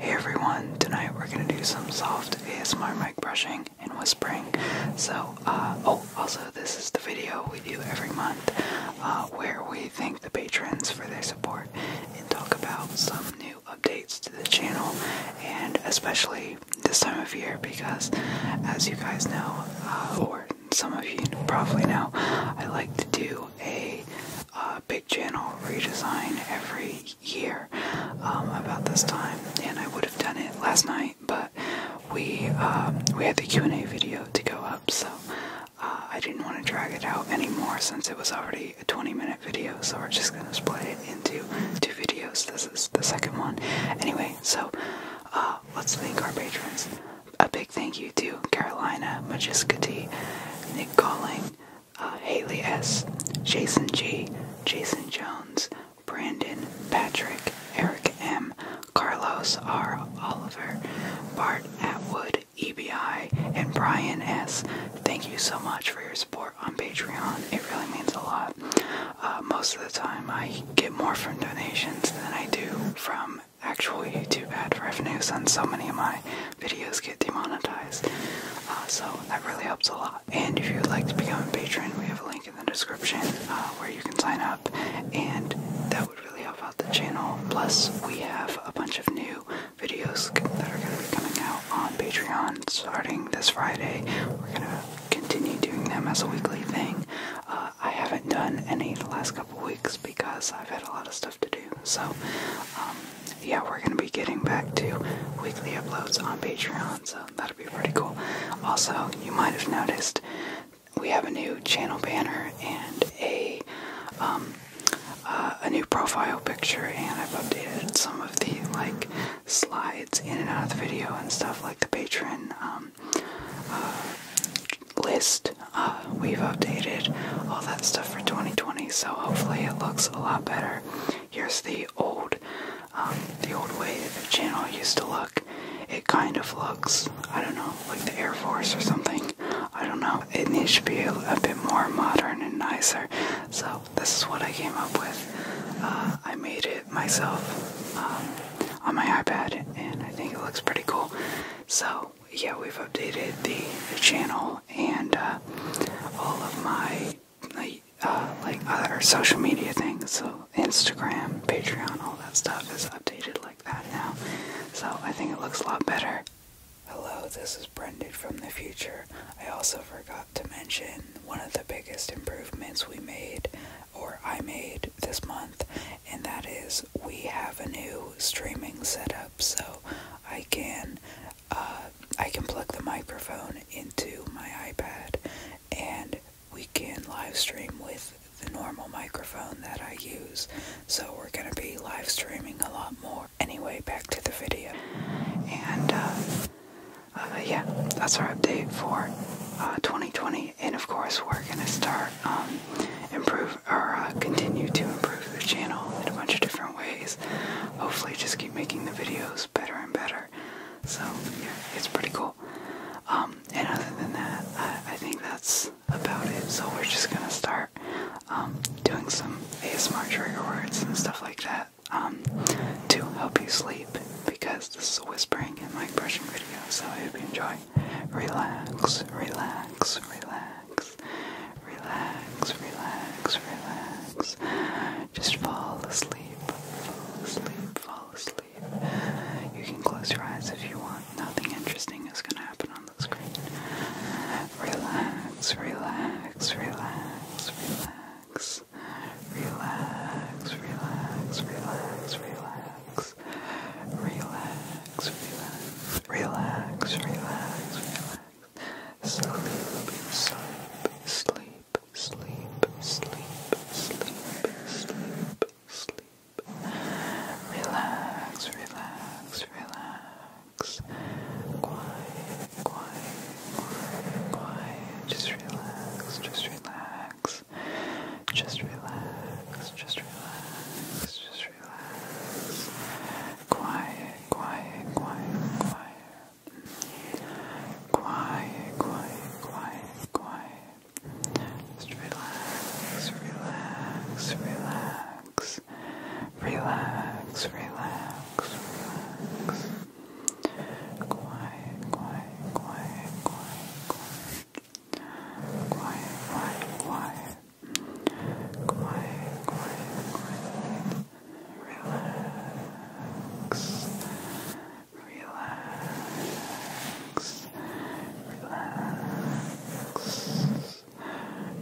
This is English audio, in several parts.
Hey everyone, tonight we're gonna do some soft ASMR mic brushing and whispering. So, uh, oh, also this is the video we do every month uh, where we thank the patrons for their support and talk about some new updates to the channel and especially this time of year because as you guys know, uh, or some of you probably know, I like to do a uh, big channel redesign every year um, about this time, and I would have done it last night, but we um, we had the Q and A video to go up, so uh, I didn't want to drag it out anymore since it was already a 20 minute video. So we're just gonna split it into two videos. This is the second one, anyway. So uh, let's thank our patrons. A big thank you to Carolina, Majiska Nick Calling uh, Haley S., Jason G., Jason Jones, Brandon, Patrick, Eric M., Carlos R. Oliver, Bart Atwood, EBI, and Brian S. Thank you so much for your support on Patreon. It really means a lot. Uh, most of the time, I get more from donations than I do from actual YouTube ad revenues on so many of my videos get demonetized. Uh, so that really helps a lot. And if you would like to become a patron, we have a link in the description uh, where you can sign up, and that would really help out the channel. Plus, we have a bunch of new videos that are going to be coming out on Patreon starting this Friday. We're going to continue doing them as a weekly thing. Uh, I haven't done any the last couple weeks because I've had a lot of stuff to do. So, um, yeah, we're gonna be getting back to weekly uploads on Patreon, so that'll be pretty cool. Also, you might have noticed we have a new channel banner and a um, uh, a new profile picture, and I've updated some of the like slides in and out of the video and stuff like the patron um, uh, list. Uh, we've updated all that stuff for 2020, so hopefully it looks a lot better. Here's the old, um, the old way the channel used to look. It kind of looks, I don't know, like the Air Force or something. I don't know. It needs to be a, bit more modern and nicer. So this is what I came up with. Uh, I made it myself um, on my iPad, and I think it looks pretty cool. So yeah, we've updated the channel and uh, all of my uh, like other social media things. So Instagram, Patreon, all that stuff is updated like that now. So I think it looks a lot better. Hello, this is Brendan from the future. I also forgot to mention one of the biggest improvements we made, or I made this month, and that is we have a new streaming setup so I can uh, I can plug the microphone into my iPad and we can live stream with the normal microphone that I use. So we're going to be live streaming a lot more. Anyway, back to the video. And uh, uh yeah, that's our update for uh, 2020. And of course, we're going to start um, improve or uh, continue to improve the channel in a bunch of different ways hopefully just keep making the videos better and better. So yeah, it's pretty cool. Um, and other than that, I, think that's about it. So we're just gonna start um, doing some ASMR trigger words and stuff like that um, to help you sleep because this is a whispering and mic brushing video. So I hope you enjoy. Relax, relax, relax. Relax, relax, relax. Just fall asleep, fall asleep, fall asleep. You can close your eyes if you want. Nothing interesting is going to happen on the screen. Relax, relax, relax, relax. Relax, relax, relax, relax. Relax, relax, relax, relax, relax. Sleep, sleep, sleep, sleep, sleep, sleep, sleep, sleep. Relax, relax, relax. Quiet, quiet, quiet, quiet. Just relax, just relax. Just relax, just relax, just relax. Quiet, quiet, quiet, quiet. Quiet, quiet, quiet, quiet. Just relax, relax, relax. Relax, relax, relax. quiet, quiet, quiet, quiet. Quiet, quiet, quiet, Quiet, quiet, quiet. Relax. Relax. Relax.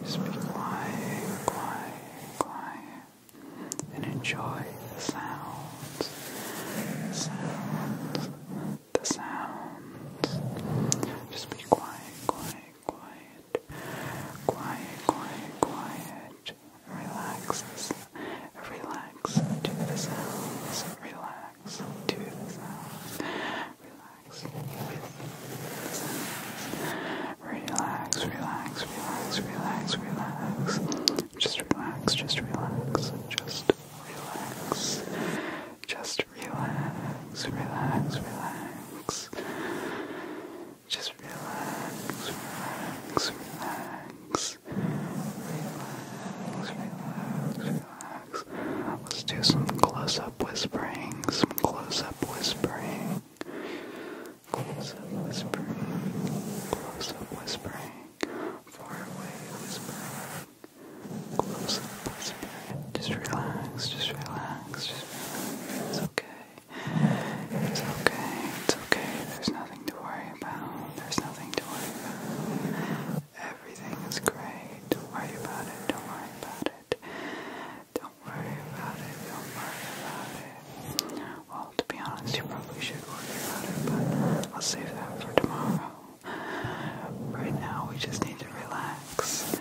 Just be quiet, quiet, quiet. And enjoy the sounds. sounds. The sounds. Just be quiet, quiet, quiet, quiet, quiet, quiet. Relax, relax to the sounds. Relax to the sounds. Relax with the sounds. Relax, relax, relax, relax, relax. Just relax, just relax, just relax. Just relax, relax, relax. Just relax, relax, relax, relax, relax, relax. Let's do some close-up whispering, some close-up whispering, close-up whispering, close-up whispering, far-away whispering, close-up whispering. Just relax, just relax, just relax. It's okay. It's okay. It's okay. There's nothing to worry about. There's nothing to worry about. Everything is great. Don't worry about it. Don't worry about it. Don't worry about it. Don't worry about it. Well, to be honest, you probably should worry about it, but I'll save that for tomorrow. Right now, we just need to relax.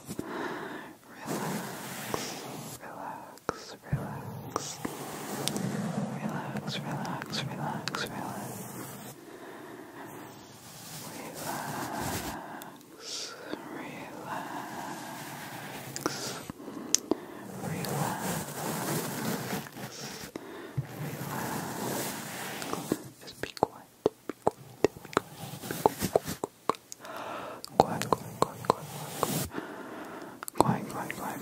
relax, relax, relax, relax, relax, relax. Relax, relax, relax, relax. Just be quiet quiet, quiet, quiet, quiet, quiet, quiet, quiet,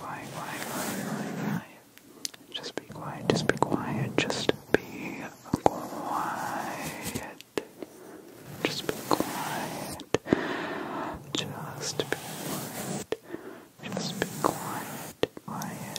quiet, quiet, quiet, quiet, just be quiet, just be quiet, just be quiet, just be quiet, just be quiet, just be quiet, quiet,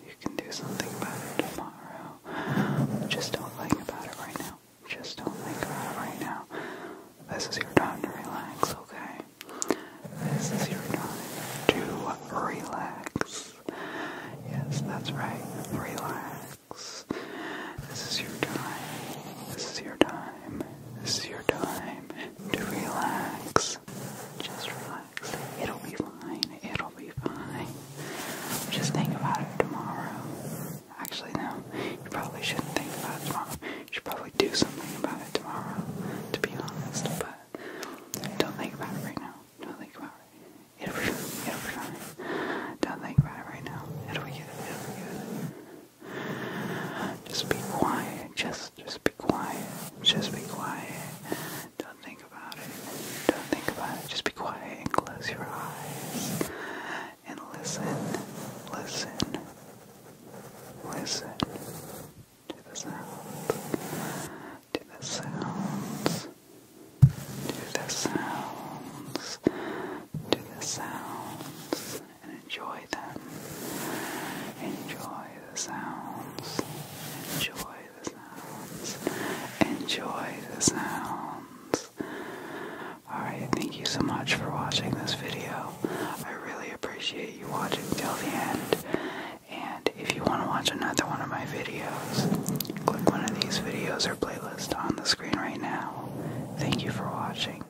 You can do something about it tomorrow. Just don't think about it right now. Just don't think about it right now. This is your time to relax, okay? This is your time to relax. Yes, that's right. Relax. This is your time. This is your time. This is your time to relax. Just relax. It'll be fine. It'll be fine. Just think about it tomorrow. Actually, no. You probably shouldn't think about it tomorrow. You should probably do something about it tomorrow, to be honest. But don't think about it right now. Don't think about it. It'll be It'll be fine. Don't think about it right now. It'll be It'll be good. Just be quiet. Just, just be quiet. Just be quiet. Don't think about it. Don't think about it. Just be quiet and close your eyes. And listen. Listen. Listen to the sounds. To the sounds. To the sounds. To the sounds. And enjoy them. Enjoy the sounds. Enjoy Enjoy the sounds. Alright, thank you so much for watching this video. I really appreciate you watching till the end. And if you want to watch another one of my videos, click one of these videos or playlist on the screen right now. Thank you for watching.